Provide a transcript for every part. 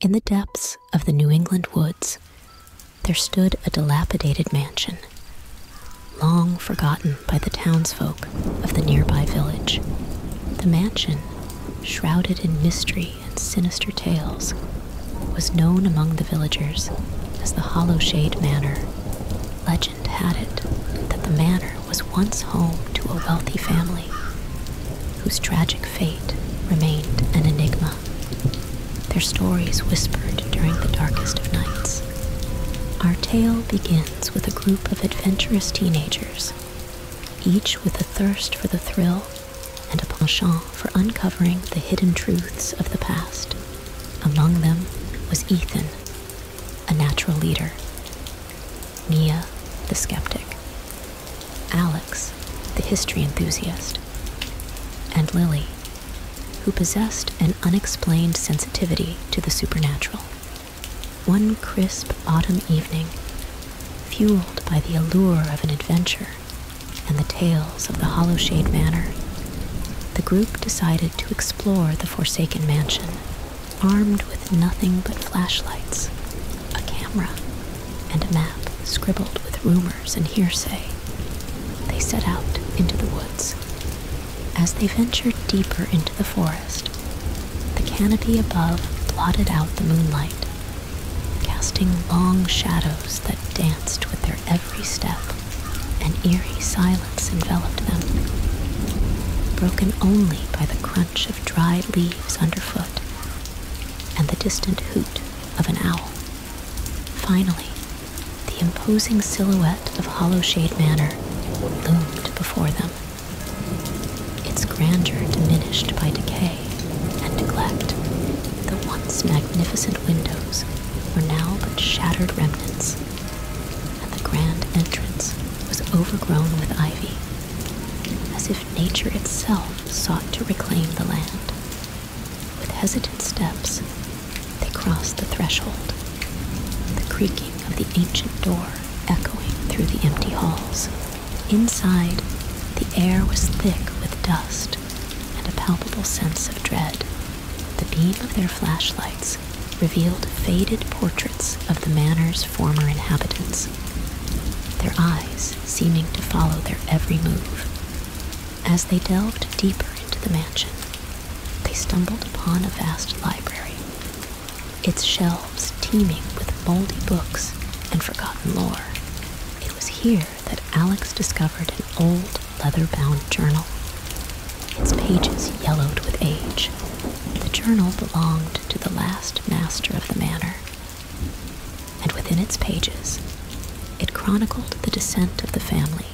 In the depths of the New England woods, there stood a dilapidated mansion, long forgotten by the townsfolk of the nearby village. The mansion, shrouded in mystery and sinister tales, was known among the villagers as the Hollowshade Manor. Legend had it that the manor was once home to a wealthy family whose tragic fate remained an enigma, their stories whispered during the darkest of nights. Our tale begins with a group of adventurous teenagers, each with a thirst for the thrill and a penchant for uncovering the hidden truths of the past. Among them was Ethan, a natural leader, Nia, the skeptic, Alex, the history enthusiast, and Lily, who possessed an unexplained sensitivity to the supernatural. One crisp autumn evening, fueled by the allure of an adventure and the tales of the Hollowshade Manor, the group decided to explore the Forsaken Mansion, armed with nothing but flashlights a camera, and a map scribbled with rumors and hearsay, they set out into the woods. As they ventured deeper into the forest, the canopy above blotted out the moonlight, casting long shadows that danced with their every step. An eerie silence enveloped them, broken only by the crunch of dried leaves underfoot and the distant hoot of an owl. Finally, the imposing silhouette of Hollowshade Manor loomed before them, its grandeur diminished by decay and neglect. The once magnificent windows were now but shattered remnants, and the grand entrance was overgrown with ivy, as if nature itself sought to reclaim the land. With hesitant steps, they crossed the threshold, the creaking of the ancient door echoing through the empty halls. Inside, the air was thick with dust and a palpable sense of dread. The beam of their flashlights revealed faded portraits of the manor's former inhabitants, their eyes seeming to follow their every move. As they delved deeper into the mansion, they stumbled upon a vast library, its shelves teeming with moldy books and forgotten lore. It was here that Alex discovered an old leather bound journal, its pages yellowed with age. The journal belonged to the last master of the manor, and within its pages, it chronicled the descent of the family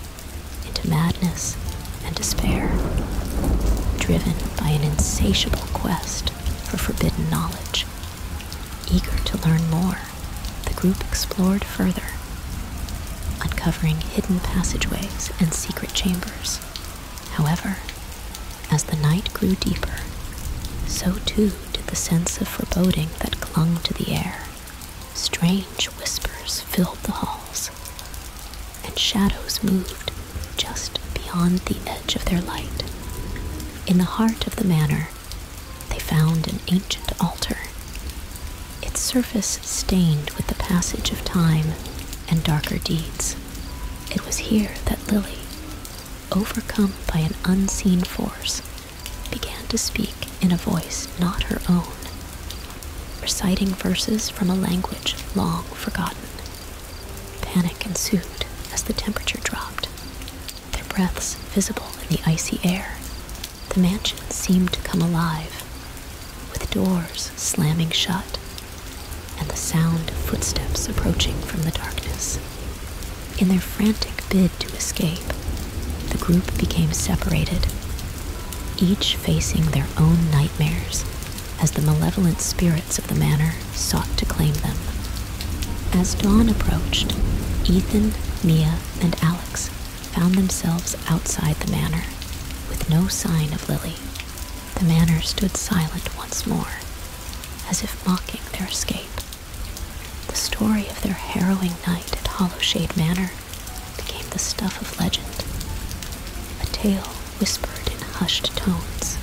into madness and despair, driven by an insatiable quest for forbidden knowledge. Eager to learn more, the group explored further, uncovering hidden passageways and secret chambers. However, as the night grew deeper, so too renewed the sense of foreboding that clung to the air. Strange whispers filled the halls, and shadows moved just beyond the edge of their light. In the heart of the manor, they found an ancient altar, its surface stained with the passage of time and darker deeds. It was here that Lily, overcome by an unseen force, began to speak in a voice not her own, reciting verses from a language long forgotten. Panic ensued as the temperature dropped, their breaths visible in the icy air. The mansion seemed to come alive, with doors slamming shut and the sound of footsteps approaching from the darkness. In their frantic bid to escape, the group became separated, each facing their own nightmares as the malevolent spirits of the manor sought to claim them. As dawn approached, Ethan, Mia, and Alex found themselves outside the manor, with no sign of Lily. The manor stood silent once more, as if mocking their escape. The story of their harrowing night at Hollowshade Manor became the stuff of legend, a tale whispered in hushed tones.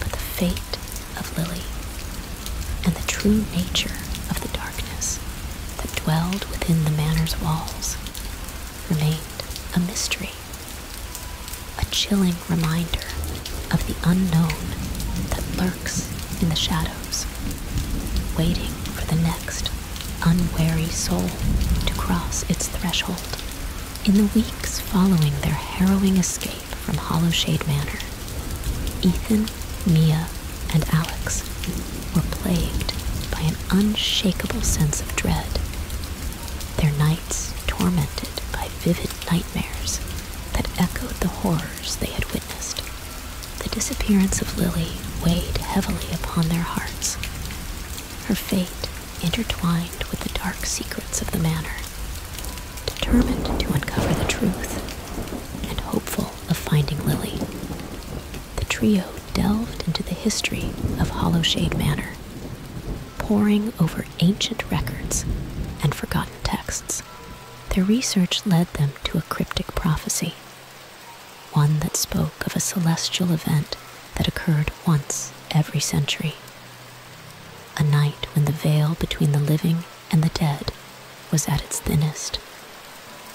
But the fate of Lily and the true nature of the darkness that dwelled within the manor's walls remained a mystery, a chilling reminder of the unknown that lurked in the shadows, waiting for the next unwary soul to cross its threshold. In the weeks following their harrowing escape from Hollowshade Manor, Ethan, Mia, and Alex were plagued by an unshakable sense of dread. Their nights tormented by vivid nightmares that echoed the horrors they had witnessed. The disappearance of Lily weighed heavily upon their hearts. Her fate intertwined with the dark secrets of the manor. Determined to uncover the truth and hopeful of finding Lily, the trio delved into the history of Hollowshade Manor, poring over ancient records and forgotten texts. Their research led them to a cryptic prophecy, one that spoke of a celestial event that occurred once every century. A night when the veil between the living and the dead was at its thinnest.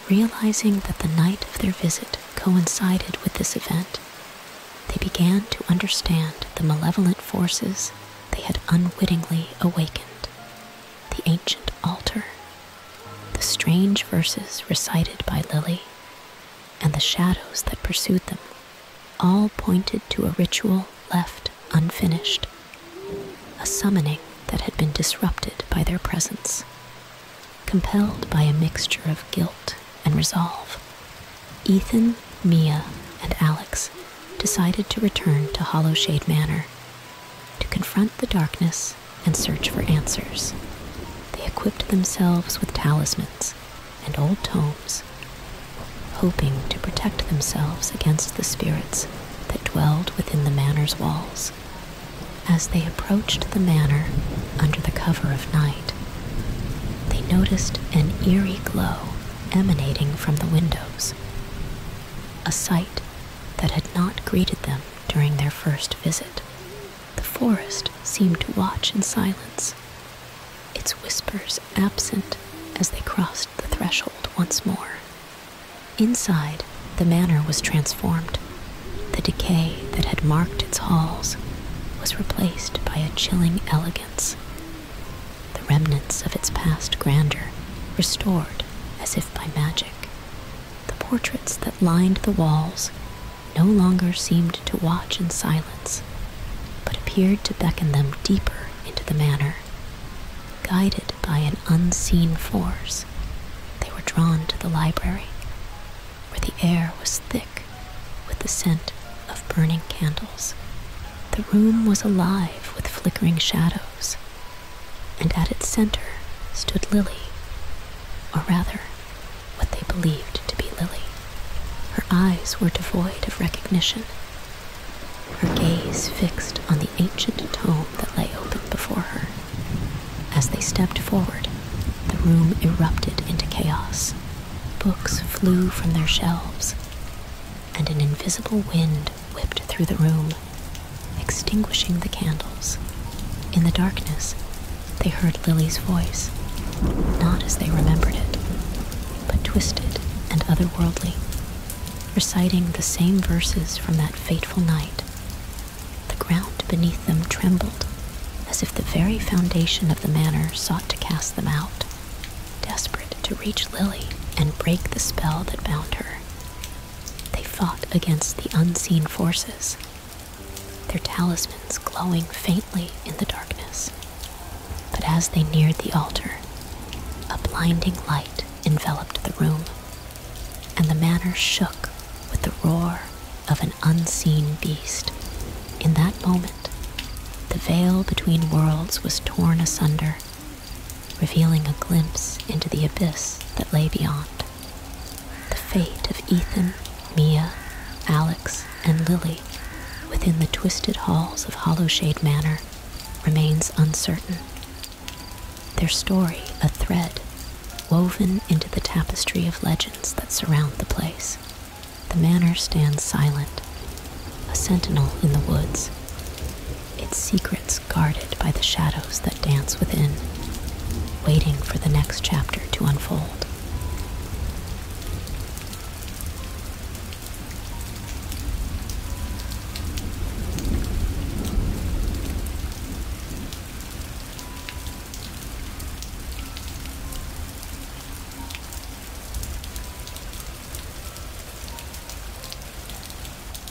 Realizing that the night of their visit coincided with this event, they began to understand the malevolent forces they had unwittingly awakened the ancient altar, the strange verses recited by Lily, and the shadows that pursued them all pointed to a ritual left unfinished, a summoning that had been disrupted by their presence, compelled by a mixture of guilt and resolve. Ethan, Mia, and Alex decided to return to Hollowshade Manor to confront the darkness and search for answers. They equipped themselves with talismans and old tomes, hoping to protect themselves against the spirits that dwelled within the manor's walls. As they approached the manor under the cover of night, they noticed an eerie glow emanating from the windows, a sight that had not greeted them during their first visit. The forest seemed to watch in silence, its whispers absent as they crossed the threshold once more. Inside, the manor was transformed. The decay that had marked its halls was replaced by a chilling elegance. The remnants of its past grandeur restored as if by magic. The portraits that lined the walls no longer seemed to watch in silence, but appeared to beckon them deeper into the manor. Guided by an unseen force, they were drawn to the library, where the air was thick with the scent of burning candles. The room was alive with flickering shadows, and at its center stood Lily, or rather, what they believed to be Lily. Her eyes were devoid of recognition, her gaze fixed on the ancient tome that lay open before her. As they stepped forward, the room erupted into chaos. Books flew from their shelves, and an invisible wind whipped through the room, extinguishing the candles. In the darkness, they heard Lily's voice, not as they remembered it, but twisted and otherworldly, reciting the same verses from that fateful night. The ground beneath them trembled, as if the very foundation of the manor sought to cast them out, desperate to reach Lily and break the spell that bound her. They fought against the unseen forces, their talismans glowing faintly in the darkness. But as they neared the altar, a blinding light enveloped the room, and the manor shook with the roar of an unseen beast. In that moment, the veil between worlds was torn asunder, revealing a glimpse into the abyss that lay beyond. The fate of Ethan, Mia, Alex, and Lily within the twisted halls of Hollowshade Manor remains uncertain. Their story a thread woven into the tapestry of legends that surround the place. The manor stands silent, a sentinel in the woods, its secrets guarded by the shadows that dance within, waiting for the next chapter to unfold.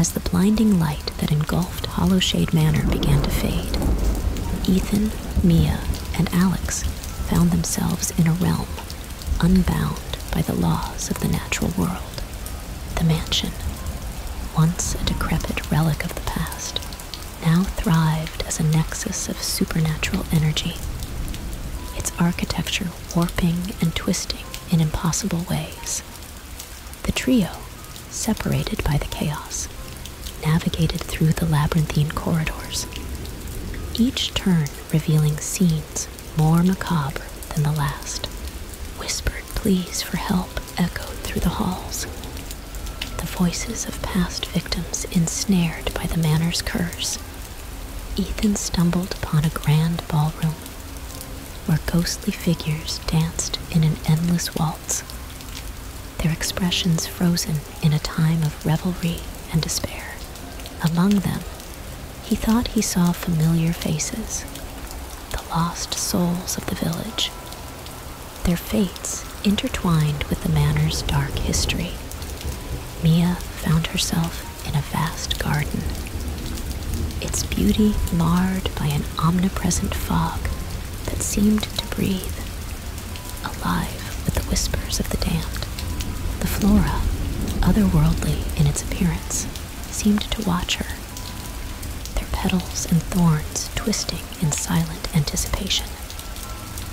As the blinding light that engulfed Hollow Shade Manor began to fade, Ethan Mia and Alex found themselves in a realm unbound by the laws of the natural world. The mansion, once a decrepit relic of the past, now thrived as a nexus of supernatural energy, its architecture warping and twisting in impossible ways. The trio separated by the chaos, navigated through the labyrinthine corridors, each turn revealing scenes more macabre than the last. Whispered pleas for help echoed through the halls. The voices of past victims ensnared by the manor's curse. Ethan stumbled upon a grand ballroom where ghostly figures danced in an endless waltz their expressions frozen in a time of revelry and despair. Among them, he thought he saw familiar faces, the lost souls of the village, their fates intertwined with the manor's dark history. Mia found herself in a vast garden, its beauty marred by an omnipresent fog that seemed to breathe, alive with the whispers of the damned. The flora, otherworldly in its appearance, seemed to watch her, their petals and thorns twisting in silent anticipation.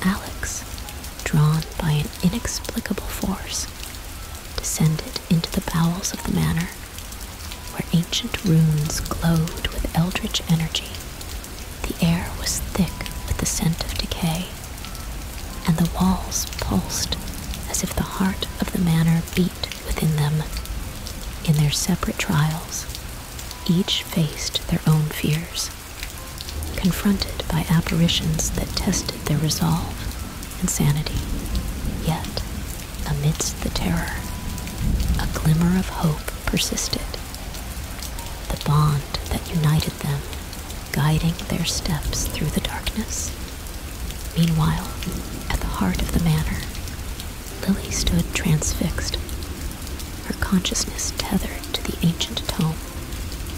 Alex, drawn by an inexplicable force, descended into the bowels of the manor, where ancient runes glowed with eldritch energy the air was thick with the scent of decay, and the walls pulsed as if the heart of the manor beat within them. In their separate trials, each faced their own fears, confronted by apparitions that tested their resolve and sanity. Yet, amidst the terror, a glimmer of hope persisted the bond that united them, guiding their steps through the darkness. Meanwhile, at the heart of the manor, Lily stood transfixed, her consciousness tethered to the ancient tome.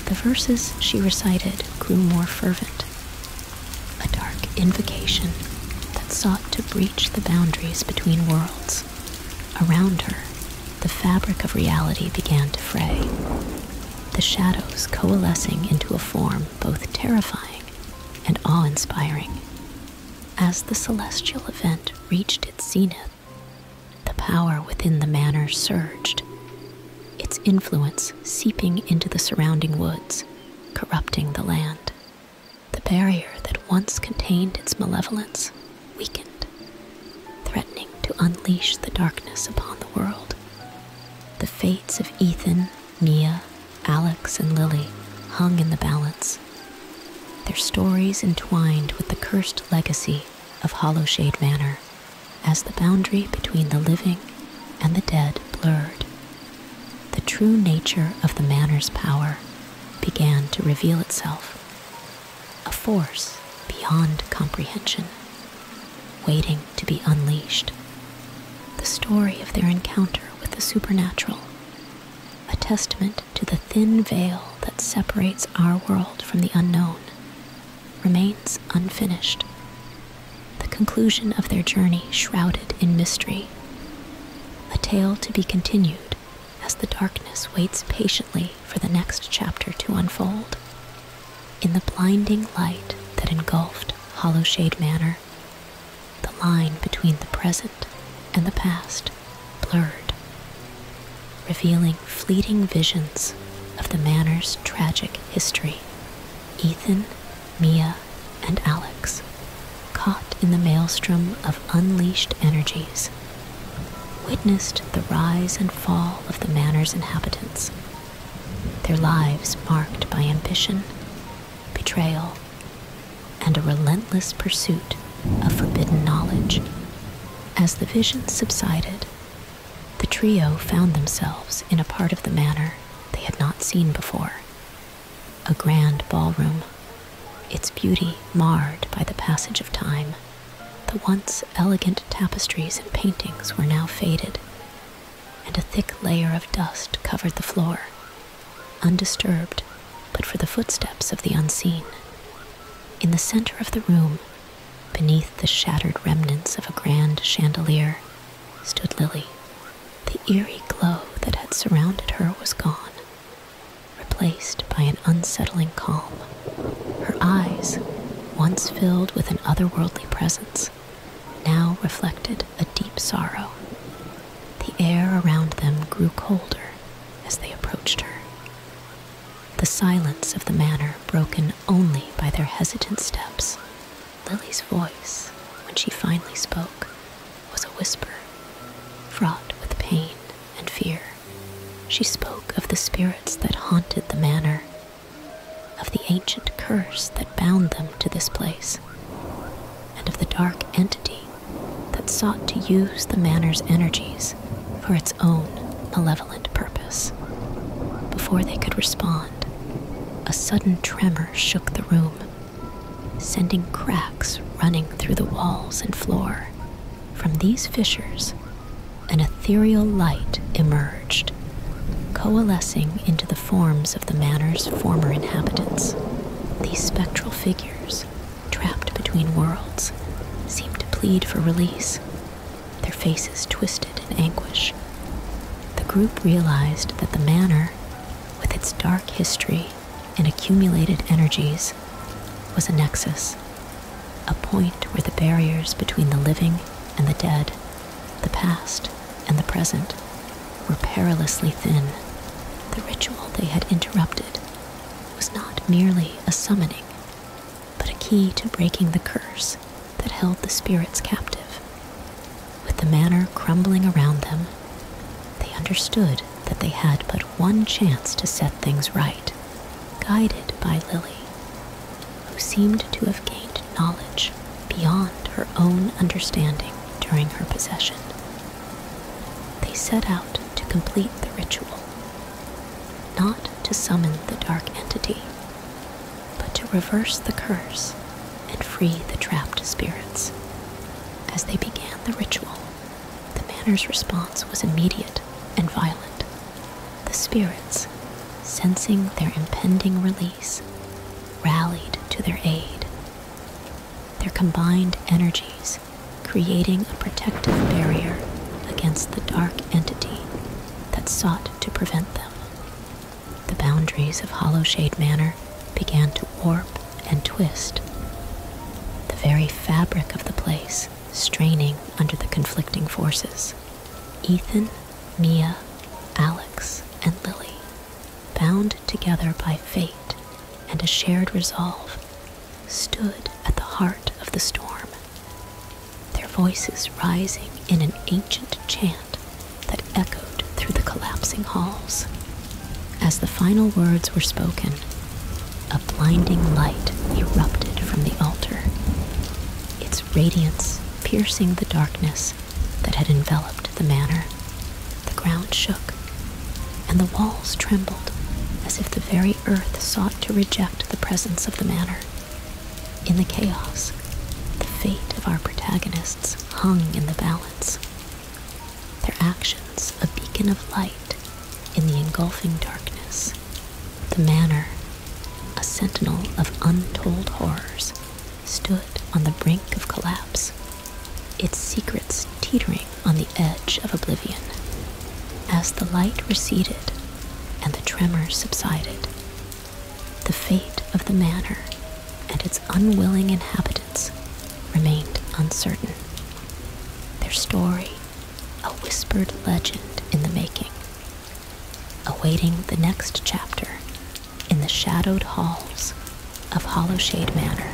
The verses she recited grew more fervent, a dark invocation that sought to breach the boundaries between worlds Around her, the fabric of reality began to fray, the shadows coalescing into a form both terrifying and awe inspiring. As the celestial event reached its zenith, the power within the manor surged, its influence seeping into the surrounding woods, corrupting the land. The barrier that once contained its malevolence weakened, threatening to unleash the darkness upon the world. The fates of Ethan, Mia, Alex, and Lily hung in the balance, their stories entwined with the cursed legacy of Hollowshade Manor as the boundary between the living and the dead blurred. The true nature of the manor's power began to reveal itself a force beyond comprehension, waiting to be unleashed. The story of their encounter with the supernatural, a testament to the thin veil that separates our world from the unknown, remains unfinished. The conclusion of their journey shrouded in mystery, a tale to be continued as the darkness waits patiently for the next chapter to unfold. In the blinding light that engulfed Hollowshade Manor, the line between the present and the past blurred, revealing fleeting visions of the manor's tragic history. Ethan, Mia, and Alex, caught in the maelstrom of unleashed energies witnessed the rise and fall of the manor's inhabitants, their lives marked by ambition, betrayal, and a relentless pursuit of forbidden knowledge. As the vision subsided, the trio found themselves in a part of the manor they had not seen before a grand ballroom, its beauty marred by the passage of time the once elegant tapestries and paintings were now faded, and a thick layer of dust covered the floor, undisturbed but for the footsteps of the unseen. In the center of the room, beneath the shattered remnants of a grand chandelier, stood Lily. The eerie glow that had surrounded her was gone, replaced by an unsettling calm. Her eyes, once filled with an otherworldly presence, now reflected a deep sorrow. The air around them grew colder as they approached her. The silence of the manor broken only by their hesitant steps. Lily's voice, when she finally spoke, was a whisper, fraught with pain and fear. She spoke of the spirits that haunted the manor, of the ancient curse that bound them to this place, and of the dark entity that sought to use the manor's energies for its own malevolent purpose. Before they could respond, a sudden tremor shook the room, sending cracks running through the walls and floor from these fissures, an ethereal light emerged, coalescing into the forms of the manor's former inhabitants. These spectral figures, trapped between worlds, seemed to plead for release, their faces twisted in anguish. The group realized that the manor, with its dark history and accumulated energies, was a nexus a point where the barriers between the living and the dead, the past and the present, were perilously thin. The ritual they had interrupted was not merely a summoning, but a key to breaking the curse that held the spirits captive. With the manor crumbling around them, they understood that they had but one chance to set things right, guided by Lily, who seemed to have gained knowledge beyond her own understanding during her possession. They set out to complete the ritual, not to summon the dark entity, but to reverse the curse and free the trapped spirits. As they began the ritual, the manor's response was immediate and violent. The spirits, sensing their impending release, rallied to their aid, their combined energies creating a protective barrier against the dark entity that sought to prevent them. The boundaries of Hollowshade Manor began to warp and twist. The very fabric of the place straining under the conflicting forces. Ethan, Mia, Alex, and Lily, bound together by fate and a shared resolve, stood at the heart of the storm, their voices rising in an ancient chant that echoed through the collapsing halls. As the final words were spoken, blinding light erupted from the altar, its radiance piercing the darkness that had enveloped the manor. The ground shook, and the walls trembled as if the very earth sought to reject the presence of the manor. In the chaos, the fate of our protagonists hung in the balance, their actions a beacon of light in the engulfing darkness. The manor, a sentinel of untold horrors, stood on the brink of collapse, its secrets teetering on the edge of oblivion. As the light receded and the tremor subsided, the fate of the manor and its unwilling inhabitants remained uncertain. Their story a whispered legend in the making, awaiting the next chapter in the shadowed halls of Hollowshade Manor.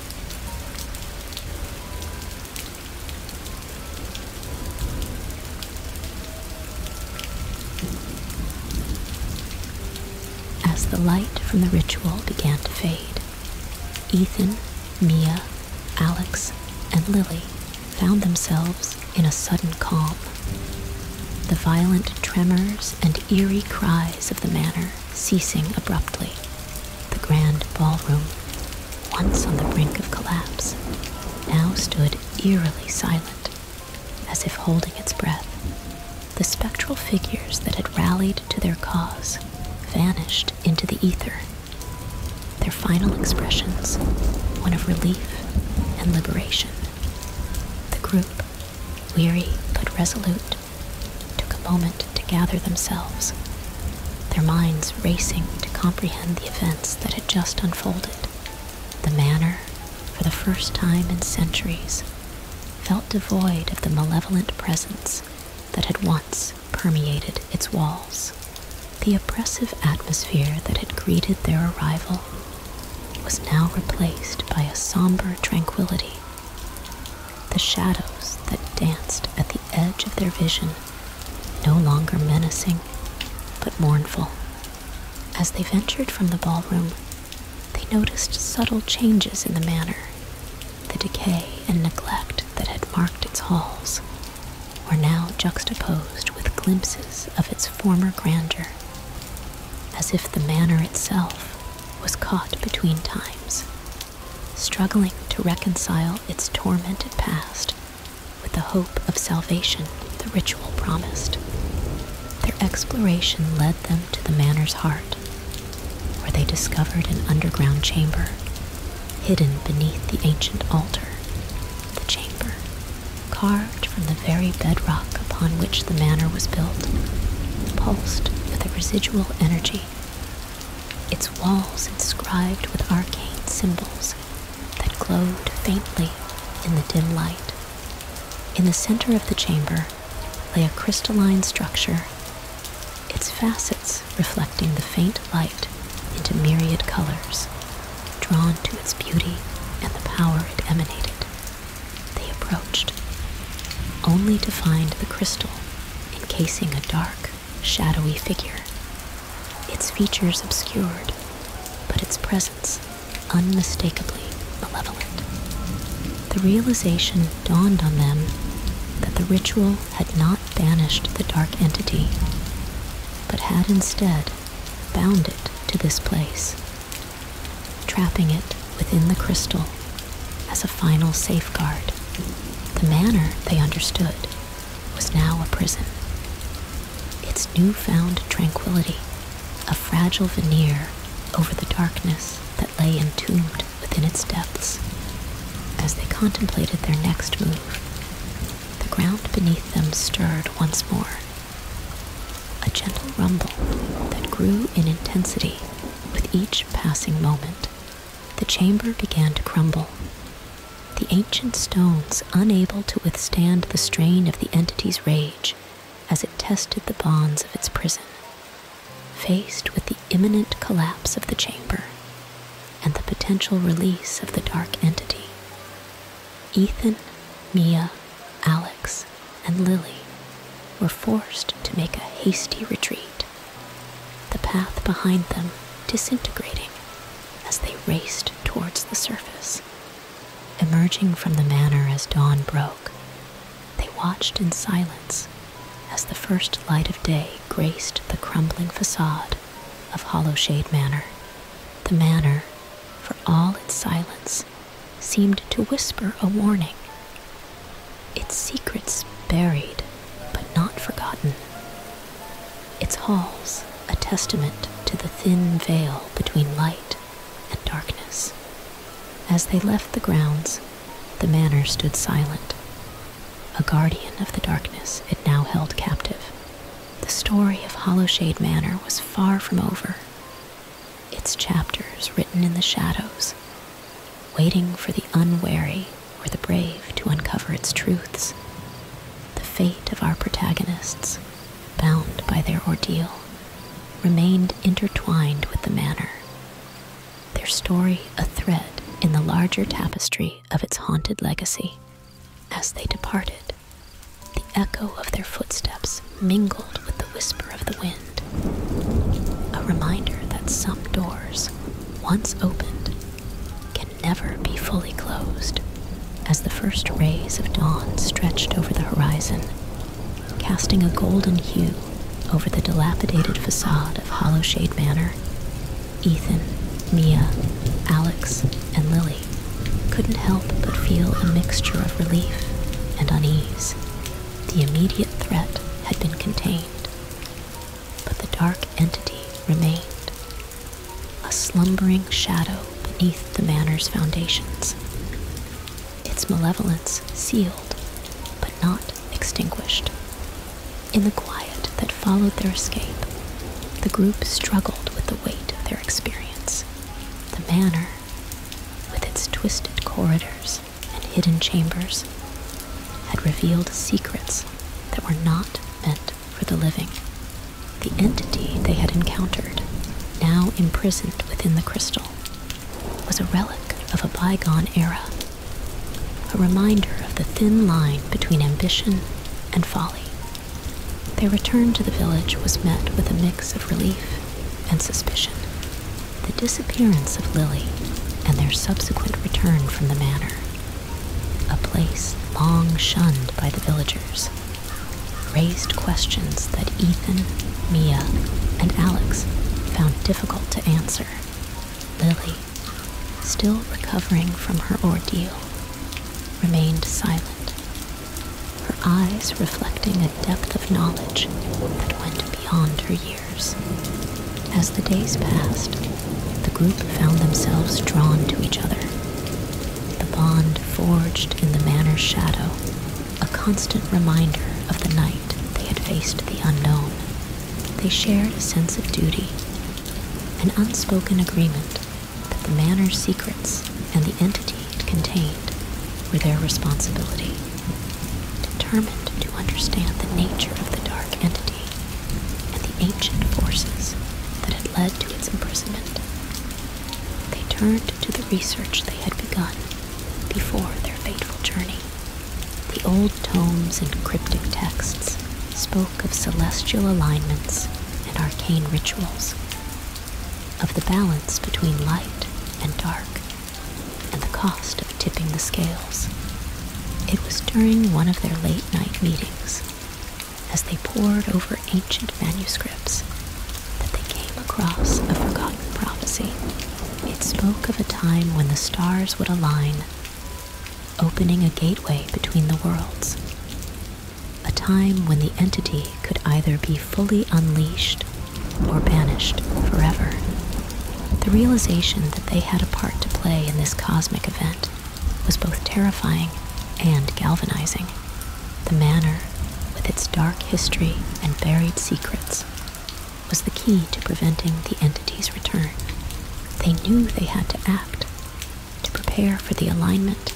As the light from the ritual began to fade, Ethan, Mia, Alex, and Lily found themselves in a sudden calm. The violent tremors and eerie cries of the manor ceasing abruptly. The grand ballroom, once on the brink of collapse, now stood eerily silent, as if holding its breath. The spectral figures that had rallied to their cause vanished into the ether. Their final expressions, one of relief and liberation. The group, weary but resolute, took a moment to gather themselves, their minds racing to comprehend the events that had just unfolded. The manor, for the first time in centuries, felt devoid of the malevolent presence that had once permeated its walls. The oppressive atmosphere that had greeted their arrival was now replaced by a somber tranquility the shadows that danced at the edge of their vision, no longer menacing, but mournful. As they ventured from the ballroom, they noticed subtle changes in the manner. The decay and neglect that had marked its halls were now juxtaposed with glimpses of its former grandeur, as if the manor itself was caught between times struggling to reconcile its tormented past with the hope of salvation the ritual promised. Their exploration led them to the manor's heart, where they discovered an underground chamber hidden beneath the ancient altar. The chamber, carved from the very bedrock upon which the manor was built, pulsed with a residual energy its walls inscribed with arcane symbols that glowed faintly in the dim light. In the center of the chamber lay a crystalline structure, its facets reflecting the faint light into myriad colors, drawn to its beauty and the power it emanated. They approached, only to find the crystal encasing a dark, shadowy figure, its features obscured, but its presence unmistakably malevolent. The realization dawned on them that the ritual had not banished the dark entity, but had instead bound it to this place, trapping it within the crystal as a final safeguard. The manor, they understood, was now a prison. Its newfound tranquility, a fragile veneer over the darkness that lay entombed within its depths. As they contemplated their next move, the ground beneath them stirred once more. A gentle rumble that grew in intensity with each passing moment the chamber began to crumble. The ancient stones, unable to withstand the strain of the entity's rage as it tested the bonds of its prison, faced with the imminent collapse of the chamber and the potential release of the dark entity. Ethan, Mia, Alex, and Lily were forced to make a hasty retreat the path behind them disintegrating as they raced towards the surface. Emerging from the manor as dawn broke, they watched in silence as the first light of day graced the crumbling facade of Hollowshade Manor. The manor, for all its silence, seemed to whisper a warning its secrets buried, but not forgotten. Its halls a testament to the thin veil between light and darkness. As they left the grounds, the manor stood silent. A guardian of the darkness it now held captive. The story of Hollowshade Manor was far from over. Its chapters written in the shadows waiting for the unwary or the brave to uncover its truths. The fate of our protagonists, bound by their ordeal, remained intertwined with the manor, their story a thread in the larger tapestry of its haunted legacy. As they departed, the echo of their footsteps mingled with the whisper of the wind a reminder that some doors, once opened, can never be fully closed. As the first rays of dawn stretched over the horizon, casting a golden hue over the dilapidated facade of Hollowshade Manor, Ethan, Mia, Alex, and Lily couldn't help but feel a mixture of relief and unease. The immediate threat had been contained, but the dark entity remained, a slumbering shadow beneath the manor's foundations, its malevolence sealed but not extinguished. In the quiet that followed their escape, the group struggled with the weight of their experience. The manor, with its twisted corridors and hidden chambers had revealed secrets that were not meant for the living. The entity they had encountered, now imprisoned within the crystal, was a relic of a bygone era, a reminder of the thin line between ambition and folly. Their return to the village was met with a mix of relief and suspicion the disappearance of Lily and their subsequent return from the manor, a place long shunned by the villagers, raised questions that Ethan, Mia, and Alex found difficult to answer. Lily, still recovering from her ordeal, remained silent, her eyes reflecting a depth of knowledge that went beyond her years. As the days passed, the group found themselves drawn to each other. The bond forged in the manor's shadow, a constant reminder of the night they had faced the unknown. They shared a sense of duty, an unspoken agreement that the manor's secrets and the entity it contained were their responsibility. Determined to understand the nature of the dark entity, and the ancient forces that had led to its imprisonment. They turned to the research they had begun before their fateful journey. The old tomes and cryptic texts spoke of celestial alignments and arcane rituals, of the balance between light and dark, and the cost of tipping the scales. It was during one of their late night meetings, as they pored over ancient manuscripts, that they came across a forgotten prophecy. It spoke of a time when the stars would align, opening a gateway between the worlds. A time when the entity could either be fully unleashed or banished forever. The realization that they had a part to play in this cosmic event was both terrifying and galvanizing. The manor, with its dark history and buried secrets, was the key to preventing the entity's return. They knew they had to act, to prepare for the alignment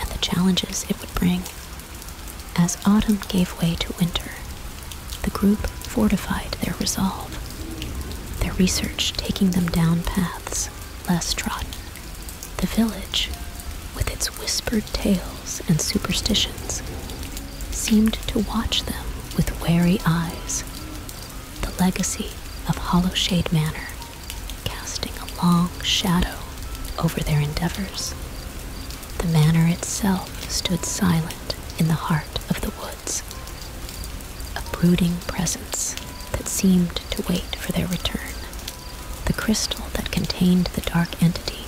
and the challenges it would bring. As autumn gave way to winter, the group fortified their resolve, their research taking them down paths less trodden. The village, with its whispered tales and superstitions, seemed to watch them with wary eyes, the legacy of Hollowshade Manor casting a long shadow over their endeavors. The manor itself stood silent in the heart of the woods a brooding presence that seemed to wait for their return. The crystal that contained the dark entity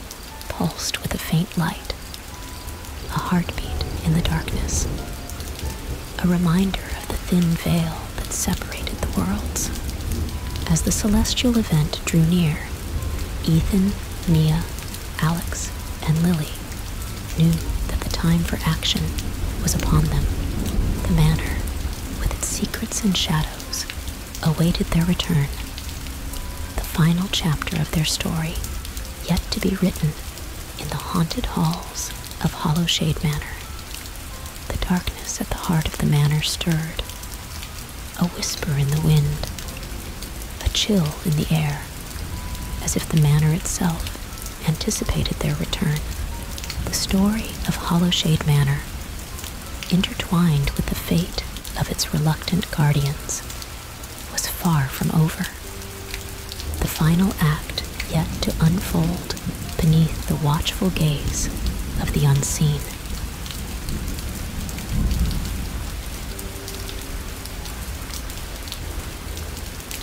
pulsed with a faint light, a heartbeat in the darkness, a reminder of the thin veil that separated the worlds. As the celestial event drew near, Ethan, Mia, Alex, and Lily knew that the time for action was upon them. The manor, with its secrets and shadows, awaited their return. The final chapter of their story, yet to be written in the haunted halls of Hollowshade Manor. The darkness at the heart of the manor stirred. A whisper in the wind, a chill in the air, as if the manor itself anticipated their return. The story of Hollowshade Manor, intertwined with the fate of its reluctant guardians, was far from over. The final act yet to unfold beneath the watchful gaze of the unseen.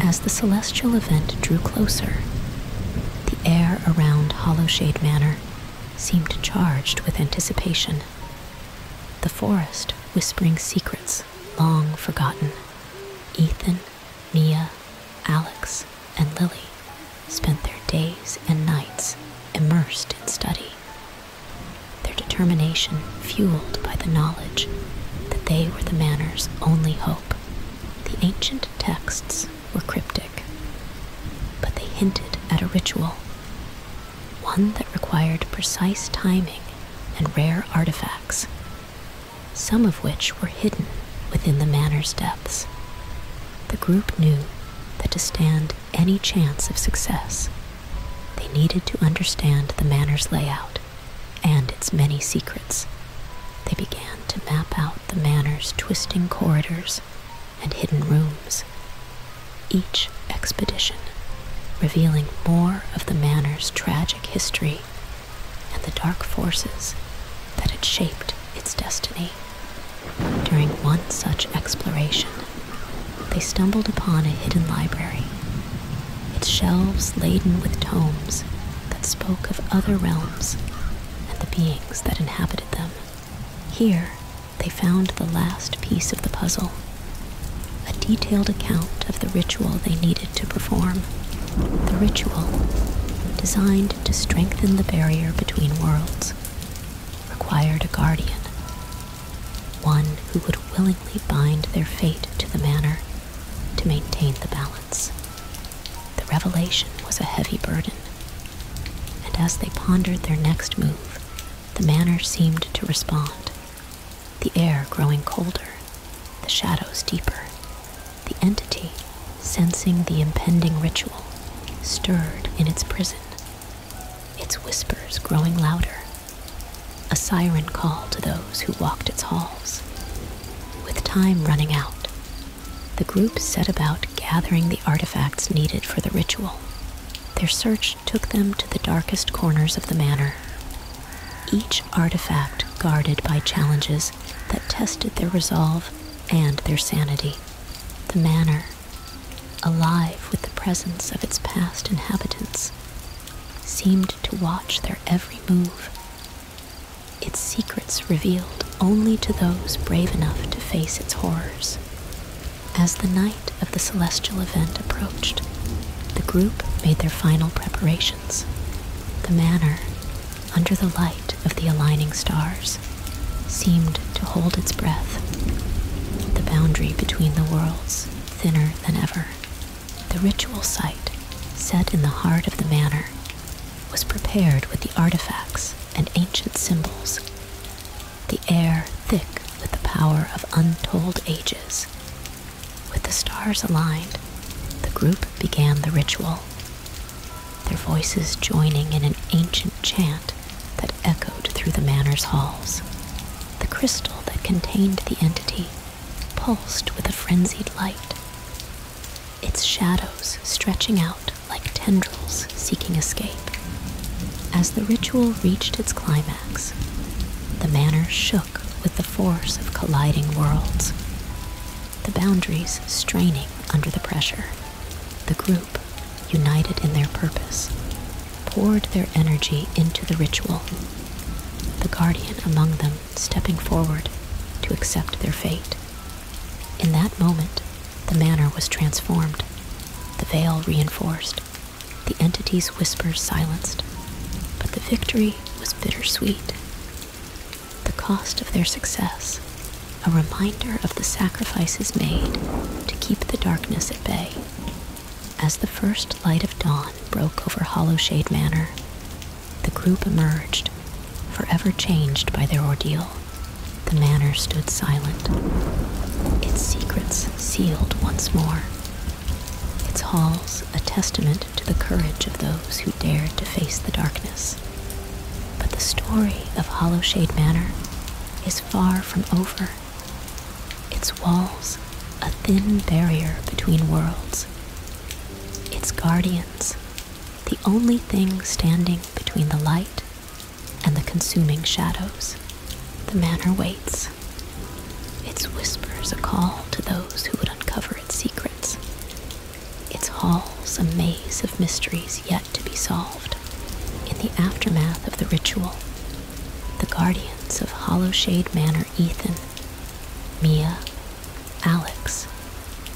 As the celestial event drew closer, the air around Hollowshade Manor seemed charged with anticipation. The forest whispering secrets long forgotten. Ethan, Mia, Alex, and Lily spent their days and nights immersed in study, their determination fueled by the knowledge that they were the Manor's only hope. The ancient texts were cryptic, but they hinted at a ritual, one that required precise timing and rare artifacts, some of which were hidden within the Manor's depths the group knew that to stand any chance of success, they needed to understand the manor's layout and its many secrets. They began to map out the manor's twisting corridors and hidden rooms. Each expedition revealing more of the manor's tragic history and the dark forces that had shaped its destiny. During one such exploration, they stumbled upon a hidden library, its shelves laden with tomes that spoke of other realms and the beings that inhabited them. Here, they found the last piece of the puzzle a detailed account of the ritual they needed to perform. The ritual, designed to strengthen the barrier between worlds, required a guardian, one who would willingly bind their fate to the manor to maintain the balance. The revelation was a heavy burden, and as they pondered their next move, the manor seemed to respond, the air growing colder, the shadows deeper, the entity, sensing the impending ritual, stirred in its prison, its whispers growing louder, a siren call to those who walked its halls. With time running out, the group set about gathering the artifacts needed for the ritual. Their search took them to the darkest corners of the manor, each artifact guarded by challenges that tested their resolve and their sanity. The manor, alive with the presence of its past inhabitants, seemed to watch their every move, its secrets revealed only to those brave enough to face its horrors. As the night of the celestial event approached, the group made their final preparations. The manor, under the light of the aligning stars, seemed to hold its breath. The boundary between the worlds thinner than ever. The ritual site, set in the heart of the manor, was prepared with the artifacts and ancient symbols, the air thick with the power of untold ages. With the stars aligned, the group began the ritual their voices joining in an ancient chant that echoed through the manor's halls. The crystal that contained the entity pulsed with a frenzied light, its shadows stretching out like tendrils seeking escape. As the ritual reached its climax, the manor shook with the force of colliding worlds, the boundaries straining under the pressure. The group, united in their purpose, poured their energy into the ritual, the guardian among them stepping forward to accept their fate. In that moment, the manor was transformed, the veil reinforced, the entity's whispers silenced. But the victory was bittersweet. The cost of their success a reminder of the sacrifices made to keep the darkness at bay. As the first light of dawn broke over Hollowshade Manor, the group emerged, forever changed by their ordeal. The manor stood silent, its secrets sealed once more, its halls a testament to the courage of those who dared to face the darkness. But the story of Hollowshade Manor is far from over. Its walls, a thin barrier between worlds. Its guardians, the only thing standing between the light and the consuming shadows. The manor waits. Its whispers a call to those who would uncover its secrets. Its halls a maze of mysteries yet to be solved. In the aftermath of the ritual, the guardians of Hollowshade Manor Ethan, Mia, Alex,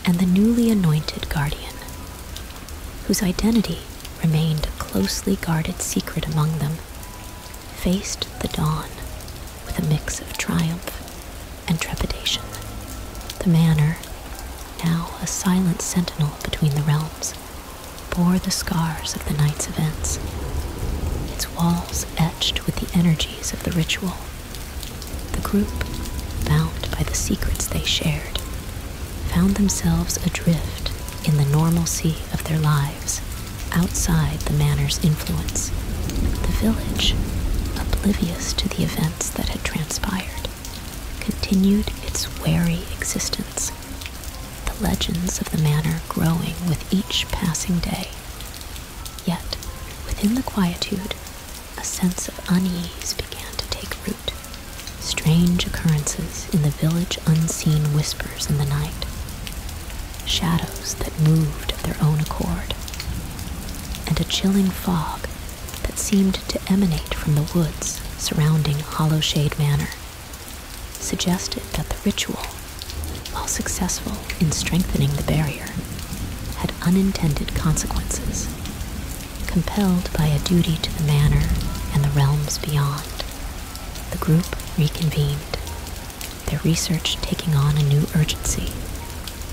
and the newly anointed guardian, whose identity remained a closely guarded secret among them, faced the dawn with a mix of triumph and trepidation. The manor, now a silent sentinel between the realms, bore the scars of the night's events, its walls etched with the energies of the ritual. The group, bound by the secrets they shared, found themselves adrift in the normalcy of their lives, outside the manor's influence. The village, oblivious to the events that had transpired, continued its wary existence, the legends of the manor growing with each passing day. Yet, within the quietude, a sense of unease began to take root. Strange occurrences in the village unseen whispers in the night, shadows that moved of their own accord, and a chilling fog that seemed to emanate from the woods surrounding Hollowshade Manor suggested that the ritual, while successful in strengthening the barrier, had unintended consequences, compelled by a duty to the manor and the realms beyond. The group reconvened, their research taking on a new urgency.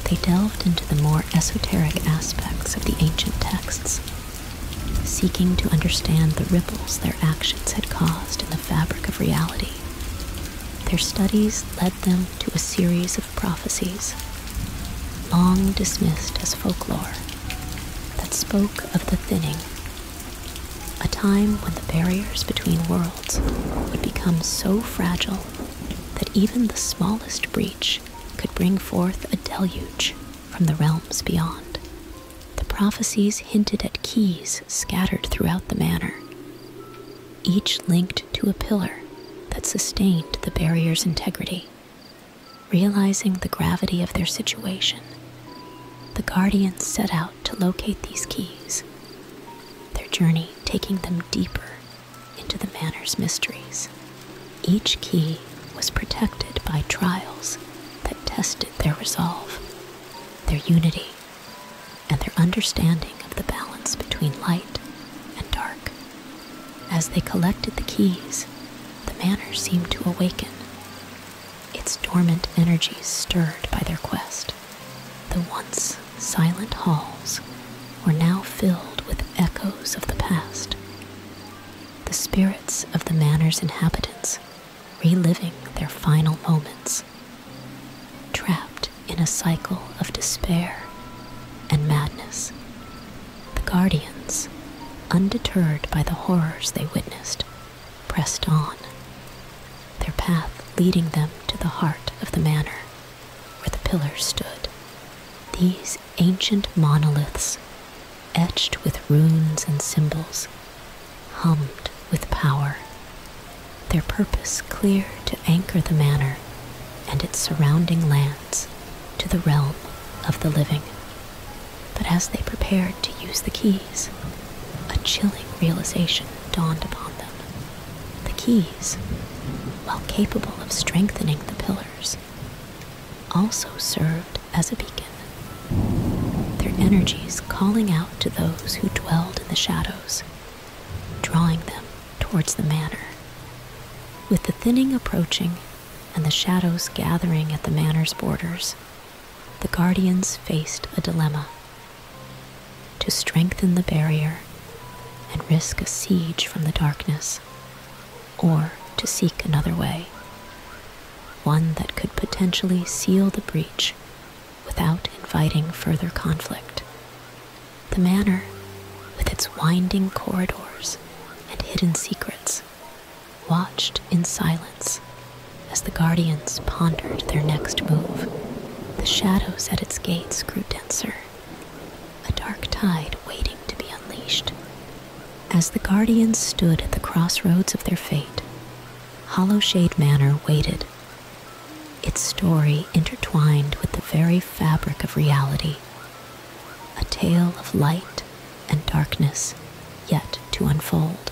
They delved into the more esoteric aspects of the ancient texts seeking to understand the ripples their actions had caused in the fabric of reality. Their studies led them to a series of prophecies, long dismissed as folklore, that spoke of the thinning, a time when the barriers between worlds would become so fragile that even the smallest breach could bring forth a deluge from the realms beyond. The prophecies hinted at keys scattered throughout the manor, each linked to a pillar that sustained the barrier's integrity. Realizing the gravity of their situation, the guardians set out to locate these keys, their journey taking them deeper into the manor's mysteries. Each key was protected by trials that tested their resolve, their unity, and their understanding of the balance between light and dark. As they collected the keys, the manor seemed to awaken, its dormant energies stirred by their quest. The once silent halls were now filled with echoes of the past, the spirits of the manor's inhabitants reliving their final moments, trapped in a cycle of despair and madness. The guardians, undeterred by the horrors they witnessed, pressed on, their path leading them to the heart of the manor where the pillars stood. These ancient monoliths, etched with runes and symbols, hummed with power, their purpose clear to anchor the manor and its surrounding lands to the realm of the living. But as they prepared to use the keys, a chilling realization dawned upon them. The keys, while capable of strengthening the pillars, also served as a beacon, their energies calling out to those who dwelled in the shadows, drawing them towards the manor. With the thinning approaching and the shadows gathering at the manor's borders, the guardians faced a dilemma to strengthen the barrier and risk a siege from the darkness or to seek another way, one that could potentially seal the breach without inviting further conflict. The manor, with its winding corridors and hidden secrets, watched in silence as the guardians pondered their next move. The shadows at its gates grew denser, a dark tide waiting to be unleashed as the guardians stood at the crossroads of their fate, Hollowshade Manor waited, its story intertwined with the very fabric of reality, a tale of light and darkness yet to unfold.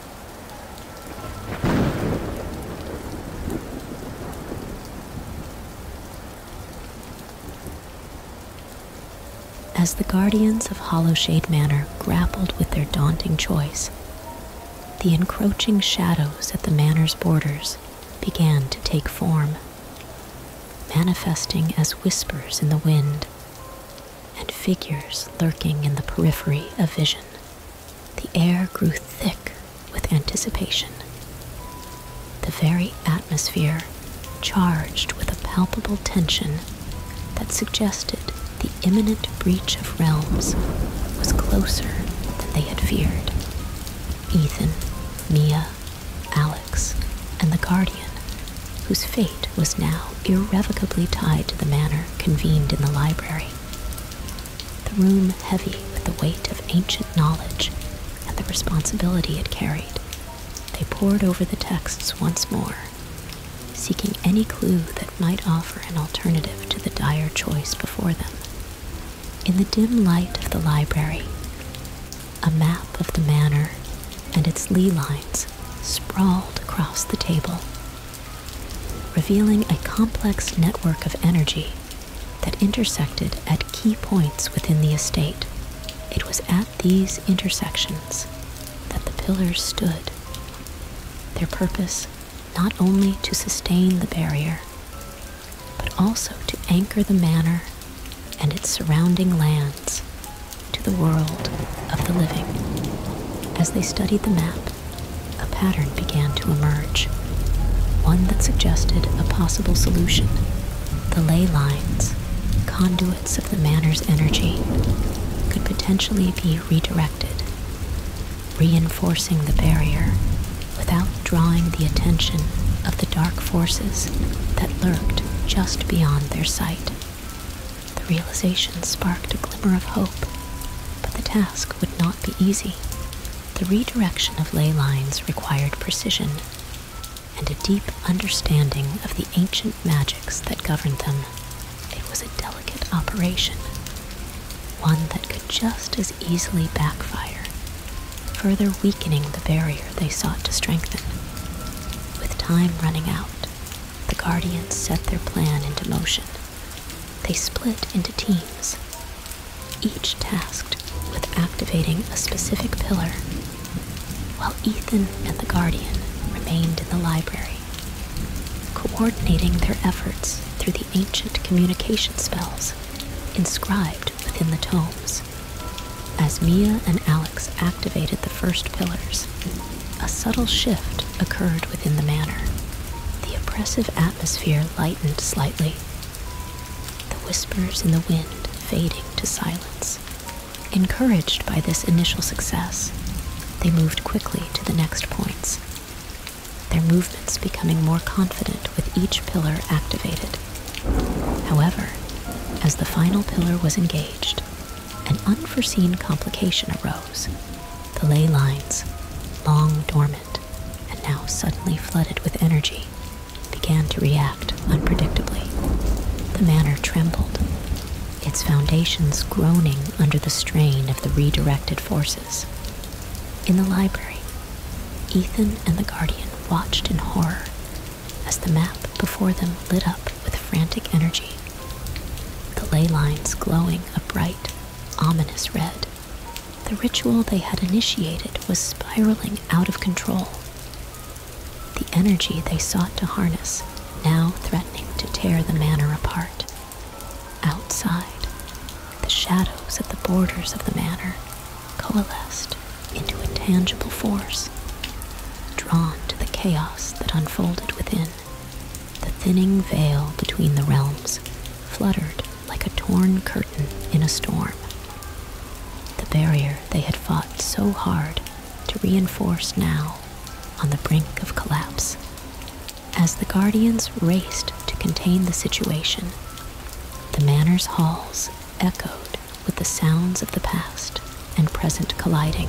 As the guardians of Hollowshade Manor grappled with their daunting choice, the encroaching shadows at the manor's borders began to take form, manifesting as whispers in the wind, and figures lurking in the periphery of vision. The air grew thick with anticipation. The very atmosphere charged with a palpable tension that suggested the imminent breach of realms was closer than they had feared. Ethan, Mia, Alex, and the Guardian whose fate was now irrevocably tied to the manner convened in the library. The room heavy with the weight of ancient knowledge and the responsibility it carried, they pored over the texts once more, seeking any clue that might offer an alternative to the dire choice before them. In the dim light of the library, a map of the manor and its lee lines sprawled across the table revealing a complex network of energy that intersected at key points within the estate. It was at these intersections that the pillars stood, their purpose not only to sustain the barrier, but also to anchor the manor and its surrounding lands to the world of the living. As they studied the map, a pattern began to emerge, one that suggested a possible solution. The ley lines, conduits of the manor's energy, could potentially be redirected, reinforcing the barrier without drawing the attention of the dark forces that lurked just beyond their sight. The realization sparked a glimmer of hope, but the task would not be easy. The redirection of ley lines required precision and a deep understanding of the ancient magics that governed them. It was a delicate operation, one that could just as easily backfire, further weakening the barrier they sought to strengthen. With time running out, the Guardians set their plan into motion. They split into teams, each tasked with activating a specific pillar, while Ethan and the Guardian remained in the library, coordinating their efforts through the ancient communication spells inscribed within the tomes. As Mia and Alex activated the first pillars, a subtle shift occurred within the manor. The oppressive atmosphere lightened slightly, the whispers in the wind fading to silence. Encouraged by this initial success, they moved quickly to the next points, their movements becoming more confident with each pillar activated. However, as the final pillar was engaged, an unforeseen complication arose. The ley lines, long dormant and now suddenly flooded with energy, began to react unpredictably. The manor trembled, its foundations groaning under the strain of the redirected forces. In the library, Ethan and the Guardian watched in horror as the map before them lit up with frantic energy the ley lines glowing a bright, ominous red. The ritual they had initiated was spiraling out of control. The energy they sought to harness now threatening to tear the manor apart. Outside, the shadows at the borders of the manor coalesced into a tangible force, drawn to the chaos that unfolded within. The thinning veil between the realms fluttered like a torn curtain in a storm. The barrier they had fought so hard to reinforce now on the brink of collapse. As the guardians raced to contain the situation, the manor's halls echoed with the sounds of the past and present colliding.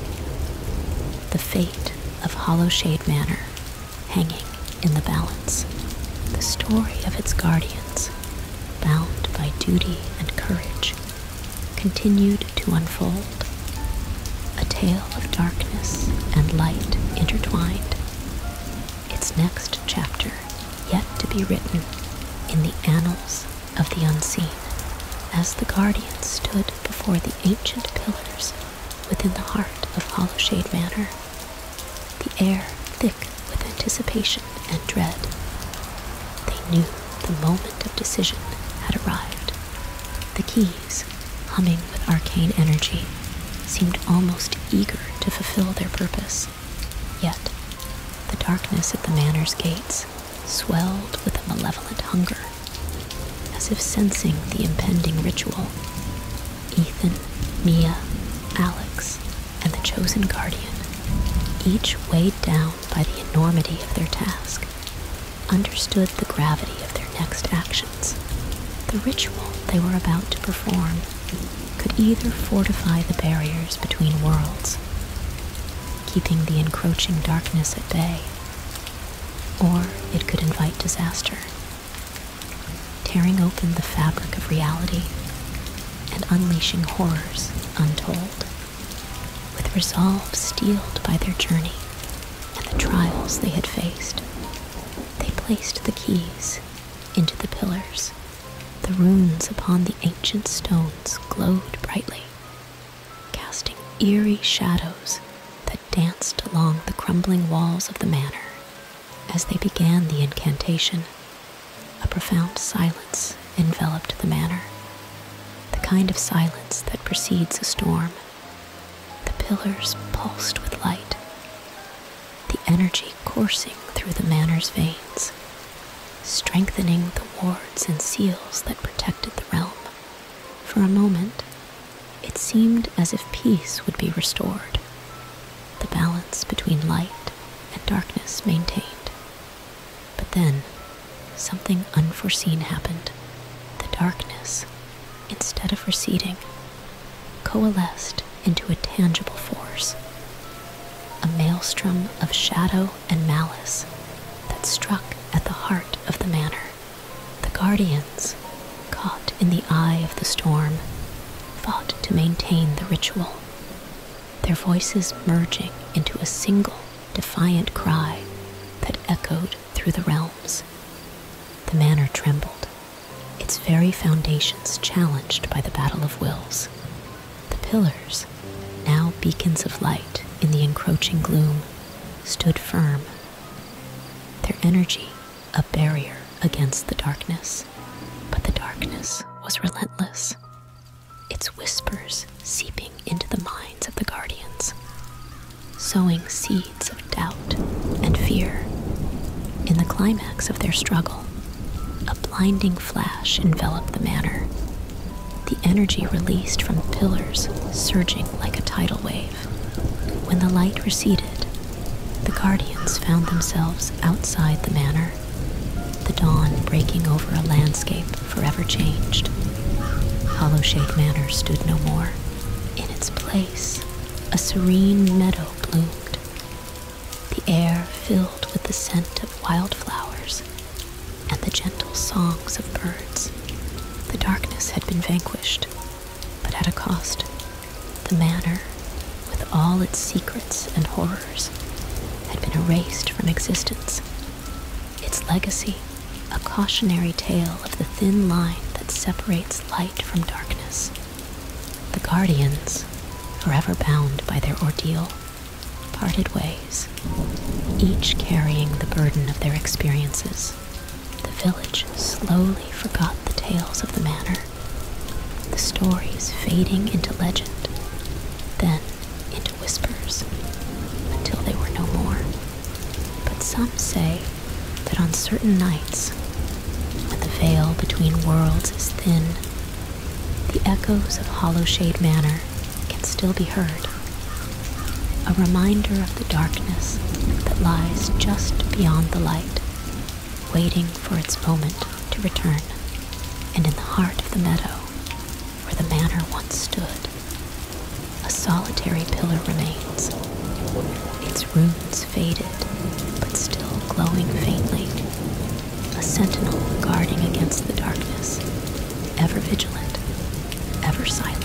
The fate fate of Hollowshade Manor hanging in the balance. The story of its guardians, bound by duty and courage, continued to unfold. A tale of darkness and light intertwined. Its next chapter yet to be written in the annals of the unseen. As the guardians stood before the ancient pillars within the heart of Hollowshade Manor, the air thick with anticipation and dread. They knew the moment of decision had arrived. The keys, humming with arcane energy, seemed almost eager to fulfill their purpose. Yet, the darkness at the manor's gates swelled with a malevolent hunger as if sensing the impending ritual. Ethan, Mia, Alex, and the chosen guardian, each weighed down by the enormity of their task, understood the gravity of their next actions. The ritual they were about to perform could either fortify the barriers between worlds, keeping the encroaching darkness at bay, or it could invite disaster, tearing open the fabric of reality and unleashing horrors untold, with resolve steeled by their journey and the trials they had faced. They placed the keys into the pillars. The runes upon the ancient stones glowed brightly, casting eerie shadows that danced along the crumbling walls of the manor. As they began the incantation, a profound silence enveloped the manor, the kind of silence that precedes a storm. The pillars pulsed with light, the energy coursing through the manor's veins, strengthening the wards and seals that protected the realm. For a moment, it seemed as if peace would be restored, the balance between light and darkness maintained. But then, something unforeseen happened. The darkness, instead of receding, coalesced into a tangible force, a maelstrom of shadow and malice that struck at the heart of the manor. The guardians, caught in the eye of the storm, fought to maintain the ritual, their voices merging into a single defiant cry that echoed through the realms. The manor trembled, its very foundations challenged by the battle of wills. The pillars, now beacons of light in the encroaching gloom, stood firm their energy, a barrier against the darkness. But the darkness was relentless, its whispers seeping into the minds of the guardians, sowing seeds of doubt and fear. In the climax of their struggle, a blinding flash enveloped the manor, the energy released from the pillars surging like a tidal wave when the light receded, the guardians found themselves outside the manor, the dawn breaking over a landscape forever changed. hollow Hollowshade Manor stood no more. In its place, a serene meadow bloomed, the air filled with the scent of wildflowers and the gentle songs of birds. The darkness had been vanquished, but at a cost. The manor, with all its secrets and horrors, had been erased from existence. Its legacy, a cautionary tale of the thin line that separates light from darkness. The guardians, forever bound by their ordeal, parted ways, each carrying the burden of their experiences the village slowly forgot the tales of the manor, the stories fading into legend, then into whispers, until they were no more. But some say that on certain nights, when the veil between worlds is thin, the echoes of Hollowshade Manor can still be heard. A reminder the darkness that lies just beyond the light, waiting for its moment to return. And in the heart of the meadow, where the manor once stood, a solitary pillar remains, its ruins faded, but still glowing faintly. A sentinel guarding against the darkness, ever vigilant, ever silent.